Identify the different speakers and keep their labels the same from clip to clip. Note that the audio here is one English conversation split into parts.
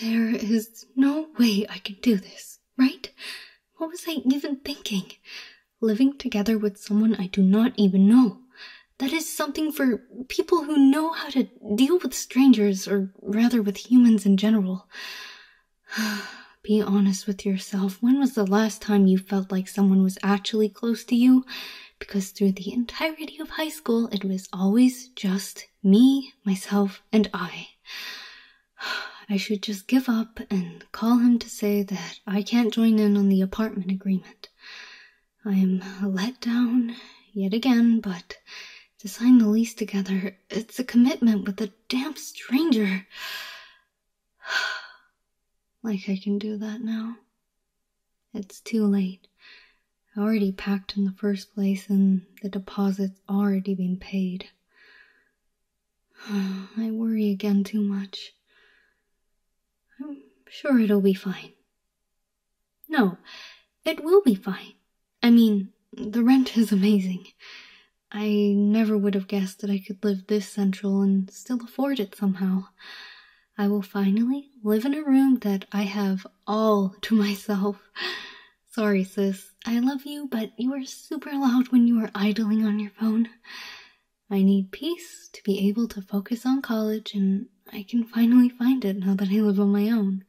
Speaker 1: There is no way I can do this, right? What was I even thinking? Living together with someone I do not even know. That is something for people who know how to deal with strangers, or rather with humans in general. Be honest with yourself. When was the last time you felt like someone was actually close to you because through the entirety of high school, it was always just me, myself, and I. I should just give up and call him to say that I can't join in on the apartment agreement. I am let down yet again, but to sign the lease together, it's a commitment with a damn stranger. like I can do that now. It's too late. I already packed in the first place and the deposit's already been paid. I worry again too much. I'm sure it'll be fine. No, it will be fine. I mean, the rent is amazing. I never would have guessed that I could live this central and still afford it somehow. I will finally live in a room that I have all to myself. Sorry, sis. I love you, but you are super loud when you are idling on your phone. I need peace to be able to focus on college, and I can finally find it now that I live on my own.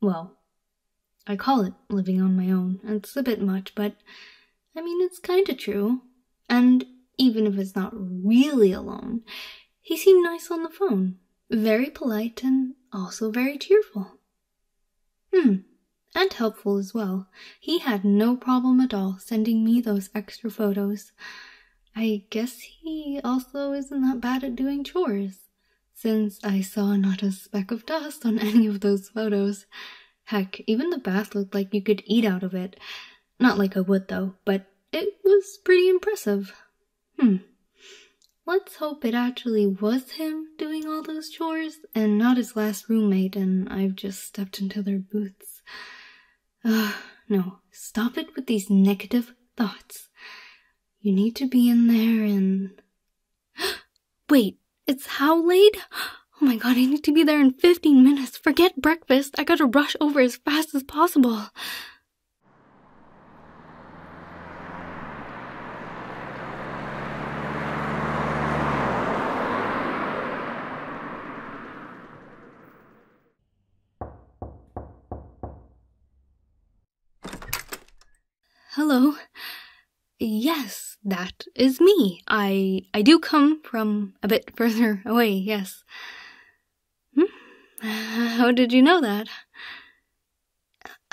Speaker 1: Well, I call it living on my own. It's a bit much, but I mean, it's kinda true. And even if it's not really alone, he seemed nice on the phone, very polite and also very cheerful. Hmm, and helpful as well. He had no problem at all sending me those extra photos. I guess he also isn't that bad at doing chores, since I saw not a speck of dust on any of those photos. Heck, even the bath looked like you could eat out of it. Not like I would, though, but it was pretty impressive. Hmm. Let's hope it actually was him doing all those chores and not his last roommate, and I've just stepped into their boots. Ugh, no, stop it with these negative thoughts. You need to be in there and. Wait, it's how late? Oh my god, I need to be there in 15 minutes. Forget breakfast. I gotta rush over as fast as possible. Hello. Yes, that is me. I I do come from a bit further away, yes. Hmm? How did you know that?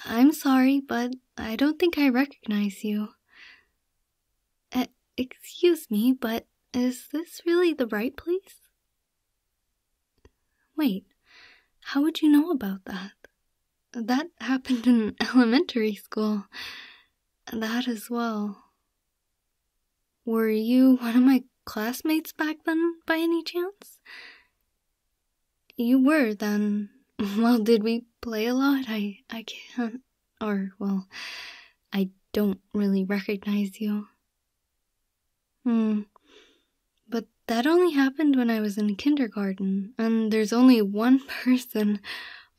Speaker 1: I'm sorry, but I don't think I recognize you. excuse me, but is this really the right place? Wait, how would you know about that? That happened in elementary school. That as well. Were you one of my classmates back then, by any chance? You were then. Well, did we play a lot? I, I can't. Or, well, I don't really recognize you. Hmm. But that only happened when I was in kindergarten, and there's only one person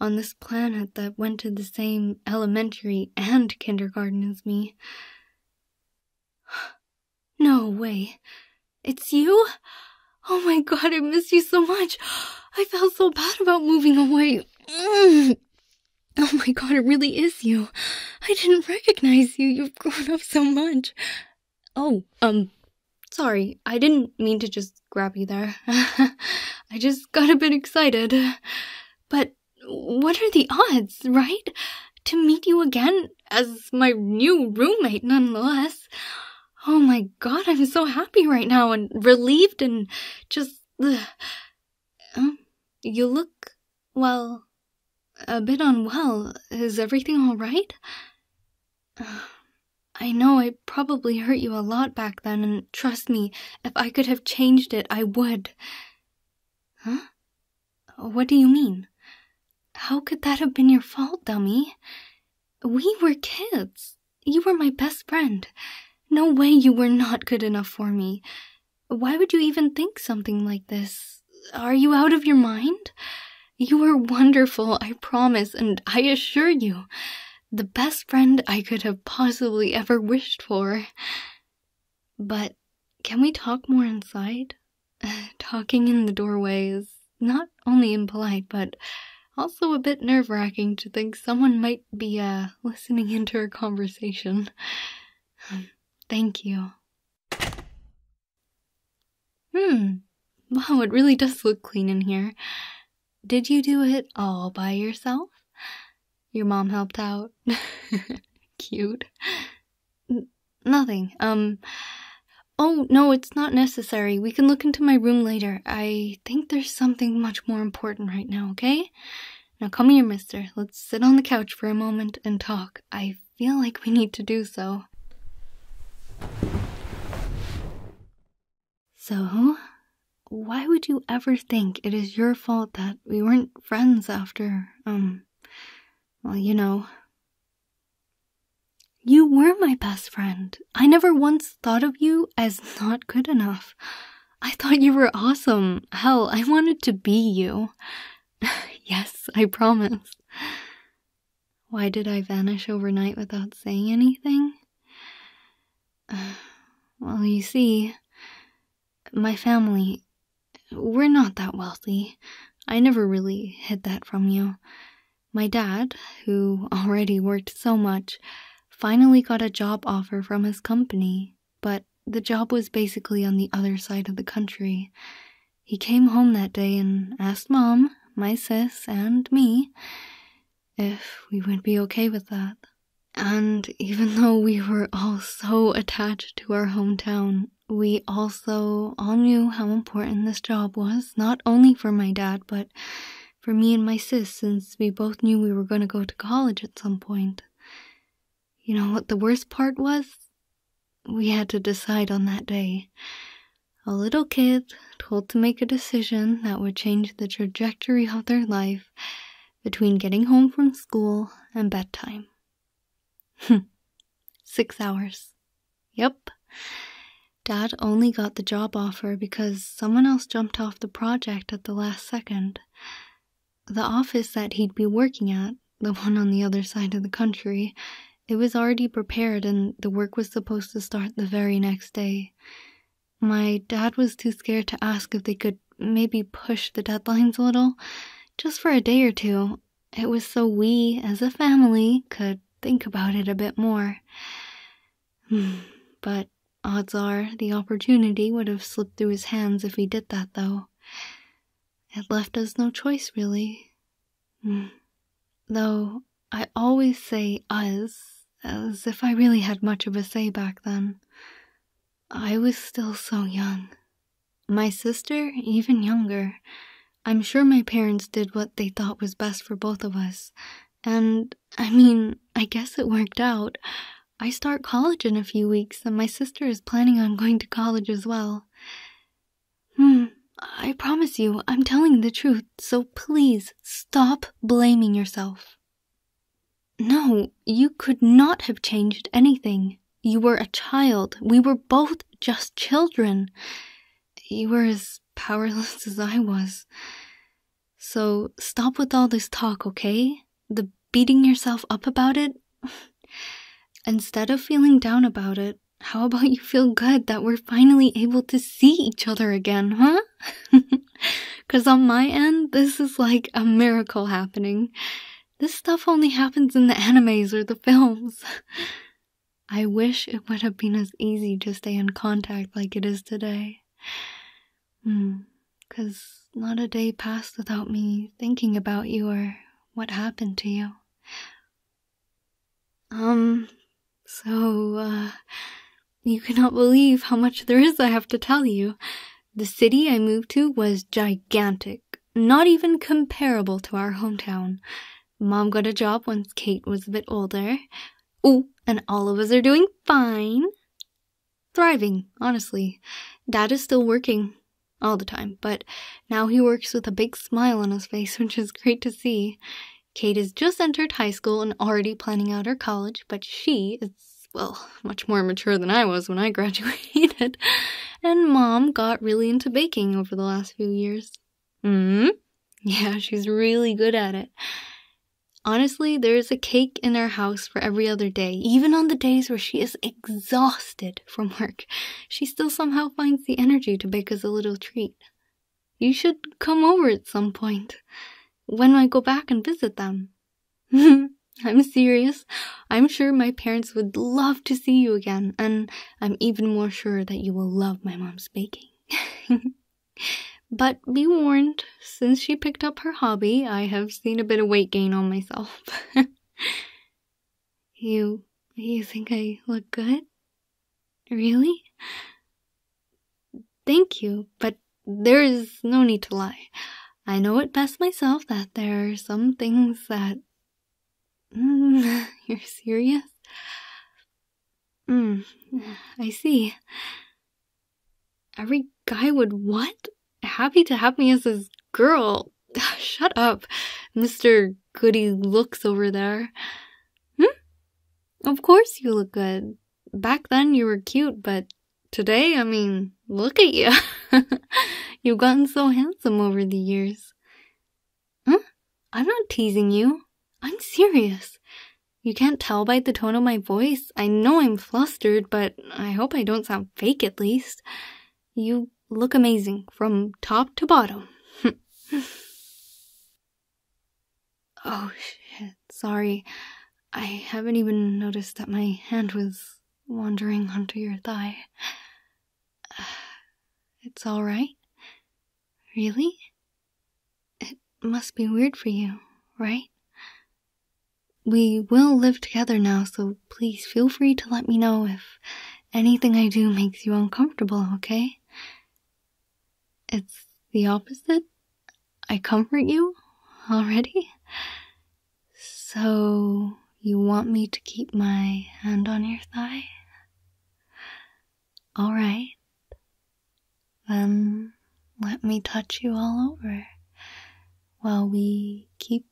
Speaker 1: on this planet that went to the same elementary and kindergarten as me. No way. It's you? Oh my god, I miss you so much. I felt so bad about moving away. Oh my god, it really is you. I didn't recognize you. You've grown up so much. Oh, um, sorry. I didn't mean to just Grab you there. I just got a bit excited. But what are the odds, right? To meet you again as my new roommate, nonetheless. Oh my god, I'm so happy right now and relieved and just. Um, you look, well, a bit unwell. Is everything alright? I know I probably hurt you a lot back then, and Trust me, if I could have changed it, I would. Huh? What do you mean? How could that have been your fault, dummy? We were kids. You were my best friend. No way you were not good enough for me. Why would you even think something like this? Are you out of your mind? You were wonderful, I promise, and I assure you the best friend I could have possibly ever wished for. But can we talk more inside? Talking in the doorway is not only impolite, but also a bit nerve wracking to think someone might be uh, listening into our conversation. Thank you. Hmm. Wow, it really does look clean in here. Did you do it all by yourself? Your mom helped out. Cute. nothing. Um. Oh, no, it's not necessary. We can look into my room later. I think there's something much more important right now, okay? Now come here, mister. Let's sit on the couch for a moment and talk. I feel like we need to do so. So, why would you ever think it is your fault that we weren't friends after, um, well, you know. You were my best friend. I never once thought of you as not good enough. I thought you were awesome. Hell, I wanted to be you. yes, I promise. Why did I vanish overnight without saying anything? Well, you see, my family, we're not that wealthy. I never really hid that from you. My dad, who already worked so much, finally got a job offer from his company, but the job was basically on the other side of the country. He came home that day and asked Mom, my sis, and me if we would be okay with that. And even though we were all so attached to our hometown, we also all knew how important this job was, not only for my dad, but for me and my sis, since we both knew we were going to go to college at some point. You know what the worst part was? We had to decide on that day. A little kid told to make a decision that would change the trajectory of their life between getting home from school and bedtime. Hmm. Six hours. Yep. Dad only got the job offer because someone else jumped off the project at the last second. The office that he'd be working at, the one on the other side of the country, it was already prepared and the work was supposed to start the very next day. My dad was too scared to ask if they could maybe push the deadlines a little, just for a day or two. It was so we, as a family, could think about it a bit more. but odds are the opportunity would have slipped through his hands if he did that, though. It left us no choice, really. Though I always say us as if I really had much of a say back then. I was still so young. My sister, even younger. I'm sure my parents did what they thought was best for both of us. And, I mean, I guess it worked out. I start college in a few weeks, and my sister is planning on going to college as well. Hmm, I promise you, I'm telling the truth, so please stop blaming yourself. No, you could not have changed anything. You were a child. We were both just children. You were as powerless as I was. So stop with all this talk, okay? The beating yourself up about it? Instead of feeling down about it, how about you feel good that we're finally able to see each other again, huh? Because on my end, this is like a miracle happening. This stuff only happens in the animes or the films. I wish it would have been as easy to stay in contact like it is today. Because hmm. not a day passed without me thinking about you or what happened to you. Um, so, uh, you cannot believe how much there is I have to tell you. The city I moved to was gigantic, not even comparable to our hometown. Mom got a job once Kate was a bit older. Oh, and all of us are doing fine. Thriving, honestly. Dad is still working all the time, but now he works with a big smile on his face, which is great to see. Kate has just entered high school and already planning out her college, but she is well, much more mature than I was when I graduated. and mom got really into baking over the last few years. Mm hmm. Yeah, she's really good at it. Honestly, there is a cake in our house for every other day. Even on the days where she is exhausted from work, she still somehow finds the energy to bake us a little treat. You should come over at some point when I go back and visit them. I'm serious. I'm sure my parents would love to see you again, and I'm even more sure that you will love my mom's baking. but be warned, since she picked up her hobby, I have seen a bit of weight gain on myself. you you think I look good? Really? Thank you, but there is no need to lie. I know it best myself that there are some things that. Mm, you're serious? Mm, I see. Every guy would what? Happy to have me as his girl. Shut up, Mr. Goody looks over there. Hmm? Of course you look good back then you were cute, but today, I mean, look at you. You've gotten so handsome over the years. Huh? I'm not teasing you. I'm serious. You can't tell by the tone of my voice. I know I'm flustered, but I hope I don't sound fake at least. You look amazing from top to bottom. Oh shit, sorry. I haven't even noticed that my hand was wandering onto your thigh. it's alright? Really? It must be weird for you, right? We will live together now, so please feel free to let me know if anything I do makes you uncomfortable, okay? It's the opposite? I comfort you already? So, you want me to keep my hand on your thigh? Alright. Then let me touch you all over while we keep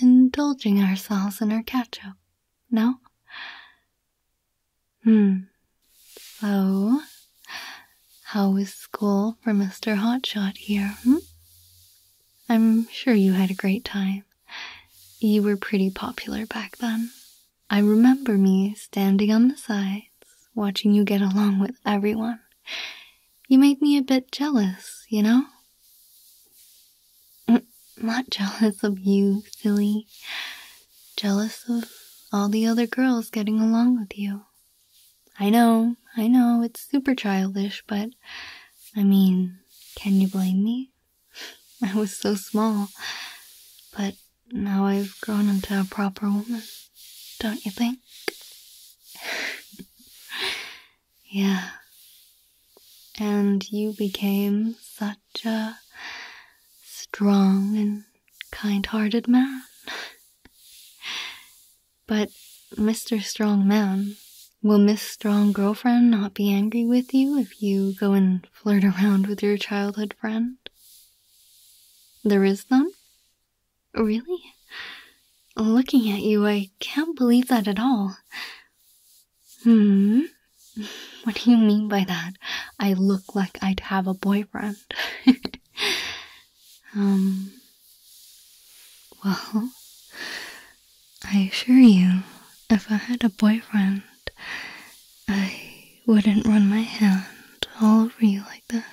Speaker 1: indulging ourselves in our catch up. No? Hmm, so, how was school for Mr. Hotshot here? Hmm? I'm sure you had a great time. You were pretty popular back then. I remember me standing on the sides, watching you get along with everyone. You made me a bit jealous, you know? Mm, not jealous of you, silly. Jealous of all the other girls getting along with you. I know, I know, it's super childish, but I mean, can you blame me? I was so small, but now I've grown into a proper woman, don't you think? yeah. And you became such a strong and kind hearted man. but Mr. Strong Man, will Miss Strong Girlfriend not be angry with you if you go and flirt around with your childhood friend? There is none? Really? Looking at you, I can't believe that at all. Hmm? What do you mean by that? I look like I'd have a boyfriend. um, well, I assure you, if I had a boyfriend, I wouldn't run my hand all over you like this.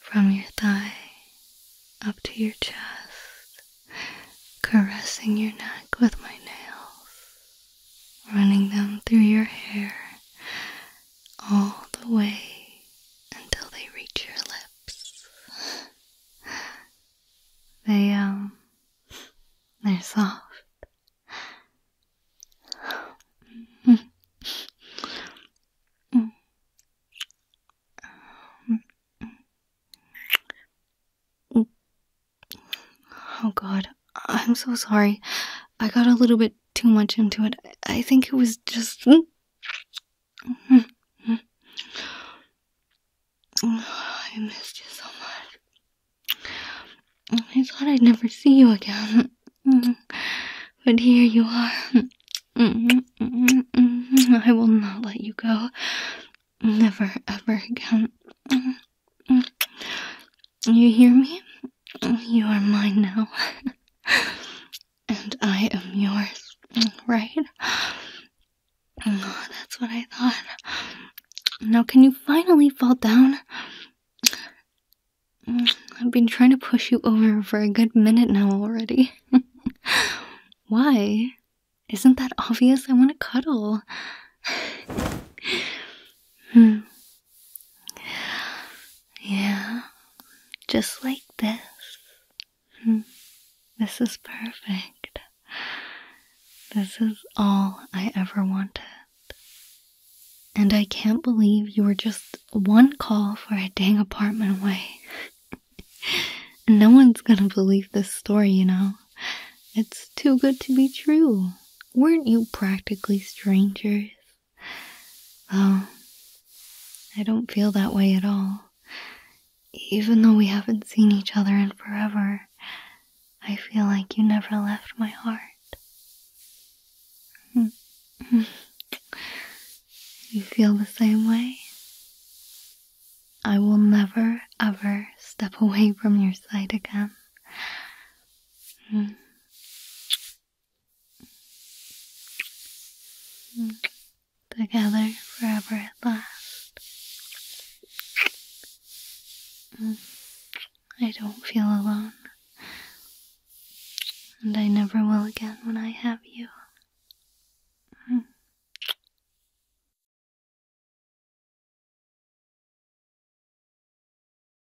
Speaker 1: From your thigh up to your chest, caressing your neck with my nails, running them through your hair, all the way until they reach your lips. They, um, they're soft. Oh, God, I'm so sorry. I got a little bit too much into it. I think it was just. Mm, mm, mm. I missed you so much. I thought I'd never see you again. But here you are. Mm-hmm. I will not let you go. Never, ever again. Mm-hmm. You hear me? You are mine now. and I am yours, right? Oh, that's what I thought. Now, can you finally fall down? Mm, I've been trying to push you over for a good minute now already. Why? Isn't that obvious? I want to cuddle. hmm. Yeah, just like this. Hmm, this is perfect. This is all I ever wanted. And I can't believe you were just one call for a dang apartment away. no one's gonna believe this story, you know. It's too good to be true. Weren't you practically strangers? Well, I don't feel that way at all. Even though we haven't seen each other in forever, I feel like you never left my heart. you feel the same way? I will never ever step away from your side again. Together forever at last. Mm. I don't feel alone. And I never will again when I have you. Mm.